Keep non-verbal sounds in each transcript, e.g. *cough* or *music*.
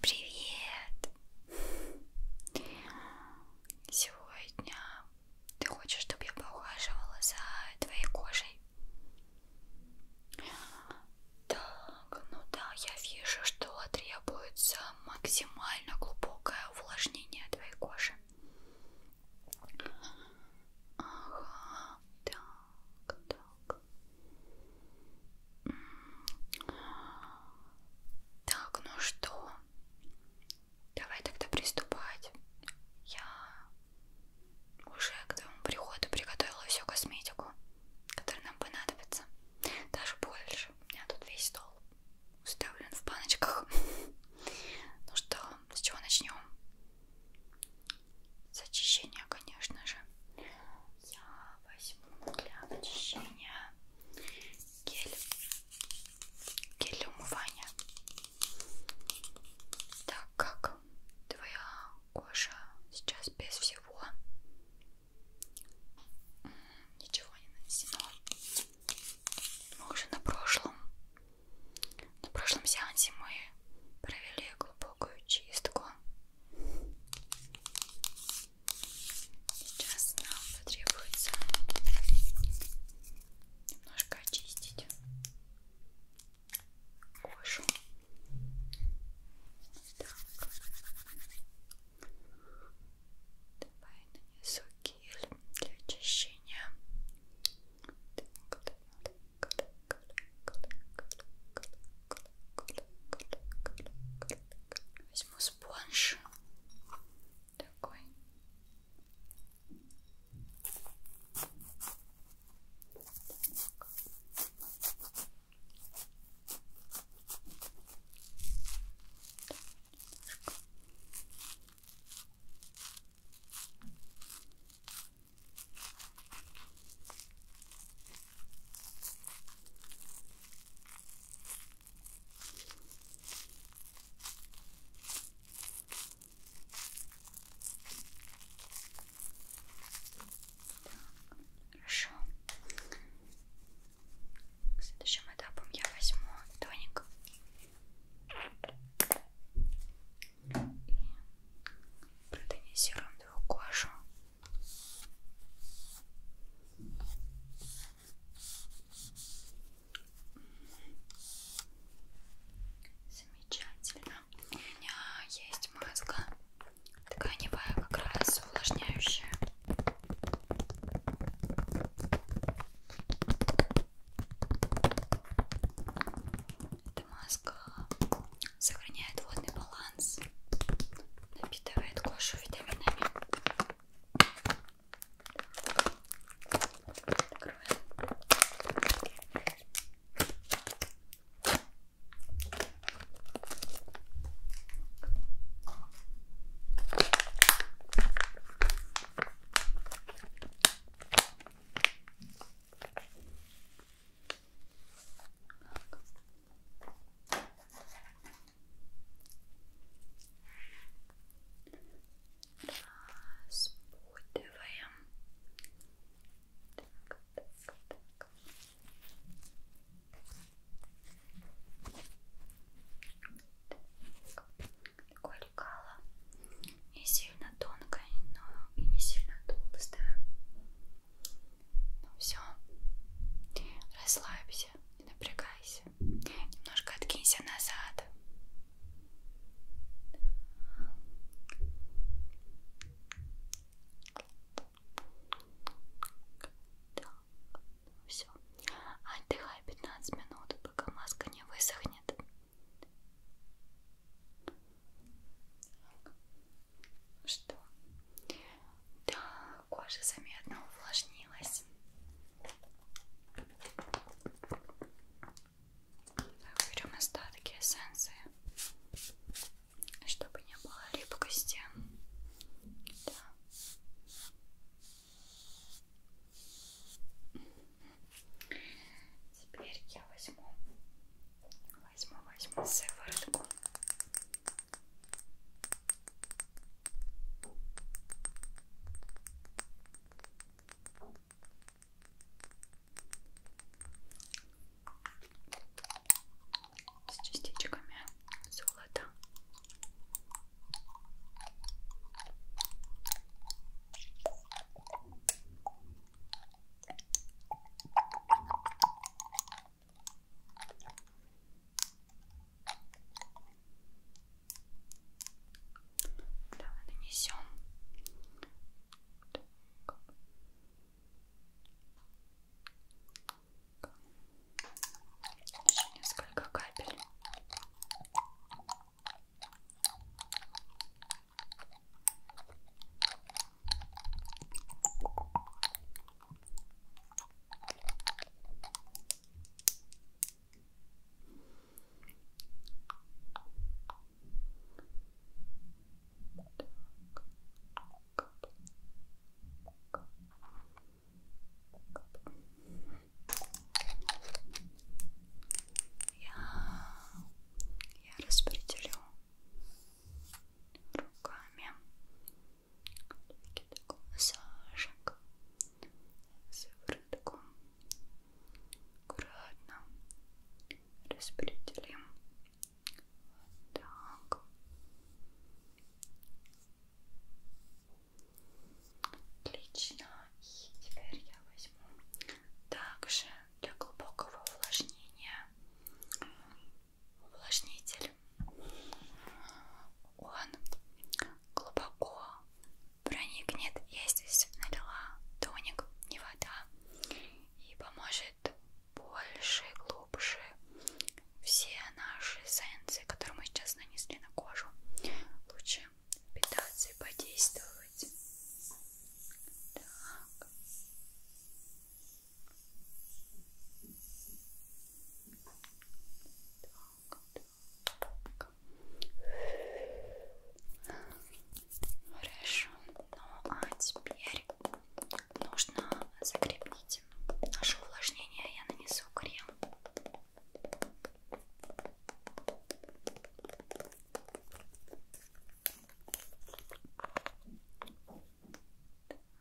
Привет! Сегодня ты хочешь, чтобы я поухаживала за твоей кожей? Так, ну да, я вижу, что требуется максимально глубокое увлажнение твоей кожи. Ага, так, так, так, ну что? Давай тогда приступать. Я уже к твоему приходу приготовила всю косметику, которая нам понадобится. Даже больше. У меня тут весь стол уставлен в баночках. *laughs* Ну что, с чего начнем? с очищения, конечно же, я возьму для очищения гель, гель для умывания, так как твоя кожа сейчас без всего, ничего не нанесено. Мы уже на прошлом, на прошлом сеансе мы провели глубокую чистку Сейчас нам потребуется немножко очистить кожу. Так. Давай нанесу гель для очищения. Так, так, так. Возьму спонж такой. Так. Так. Хорошо. Следующим этапом я возьму тоник и протонизируем его кожу Замечательно. У меня есть маска тканевая, как раз увлажняющая. Это маска сохраняет водный баланс, напитывает кожу витаминами. Открываем. Так. Разбудываем. Так, так, так. Такое лекало не сильно тонкое, но и не сильно толстое. Ну все, расслабься, не напрягайся, немножко откинься назад. Так, ну все. Отдыхай 15 минут, пока маска не высохнет. Что? Да, кожа заметно увлажнилась. Так, берем остатки эссенции, чтобы не было липкости. Да. Теперь я возьму Возьму, возьму сыворотку. С частичками золота. Давай нанесем. Так. Еще несколько капель. Я, я распределю руками такой массажик сыворотку аккуратно распределим вот так отлично и теперь я возьму также для глубокого увлажнения увлажнитель. Он глубоко проникнет, я здесь налила тоник, не вода, и поможет больше, глубже все наши эссенции, которые мы сейчас нанесли на кожу, лучше питаться и подействовать. Так. Так, так. Хорошо. Ну а теперь нужно закрепить наше увлажнение. Я нанесу крем. Так.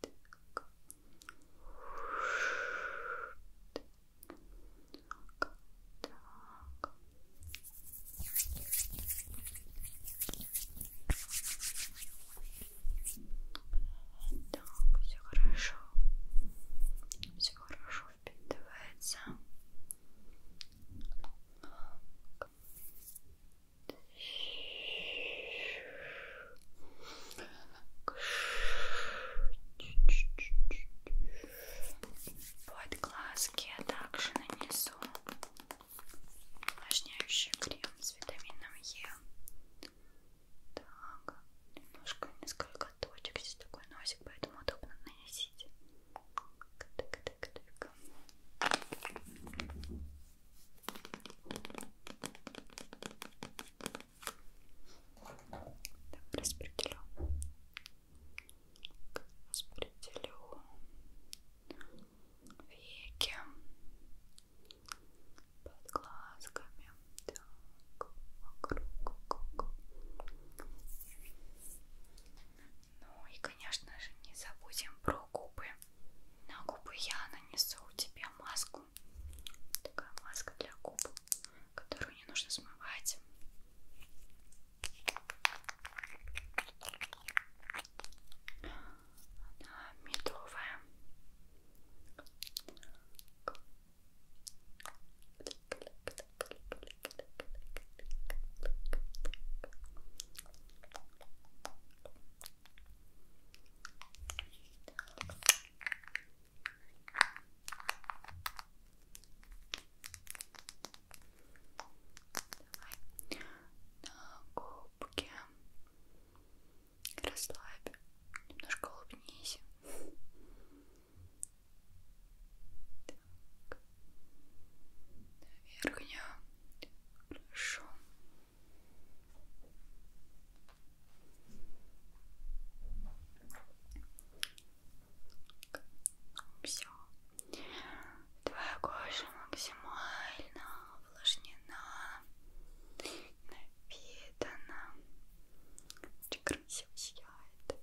Так, все хорошо. Все хорошо впитывается. Так. Под глазки я также нанесу увлажняющий крем с витамином Е. Так, немножко несколько точек, здесь такой носик, поэтому удобно наносить. Так, так, так. Так, распределю. Распределю веки под глазками. Так, вокруг. Ну и, конечно же, не забудем про губы. На губы я нанесу тебе маску маску. Такая маска для губ, которую не нужно смывать. Она медовая. Давай на губке расслабь, немножко улыбнись. Так. На верхнюю. Хорошо. Все. Твоя кожа максимально увлажнена, напитана, очень красиво сияет. Так.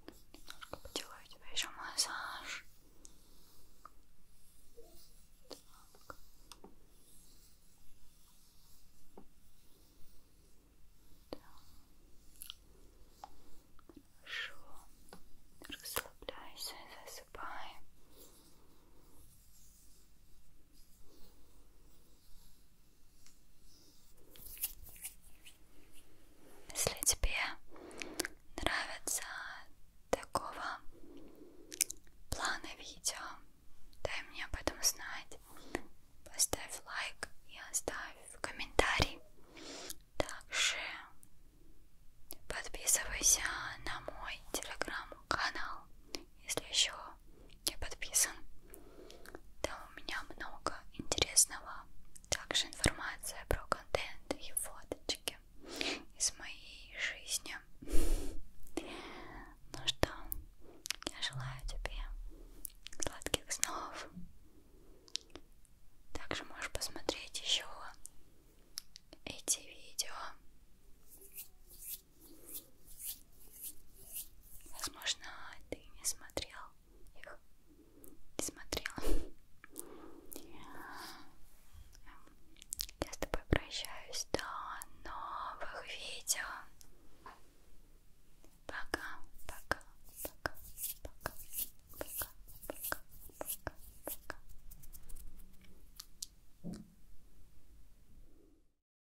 Немножко поделаю тебе еще массаж. Так. Да. Хорошо. Расслабляйся, засыпай. Если тебе нравится такого плана видео, дай мне об этом знать. Поставь лайк и оставь комментарий. Также подписывайся на мой телеграм-канал если еще не подписан. Там у меня много интересного, также информация про контент и фоточки из моей жизни. Ну что, я желаю тебе сладких снов. Также можешь посмотреть еще эти видео. Возможно, ты не смотрел их. Не смотрела. Я с тобой прощаюсь до новых видео. Пока, пока, пока, пока, пока, пока, пока, пока.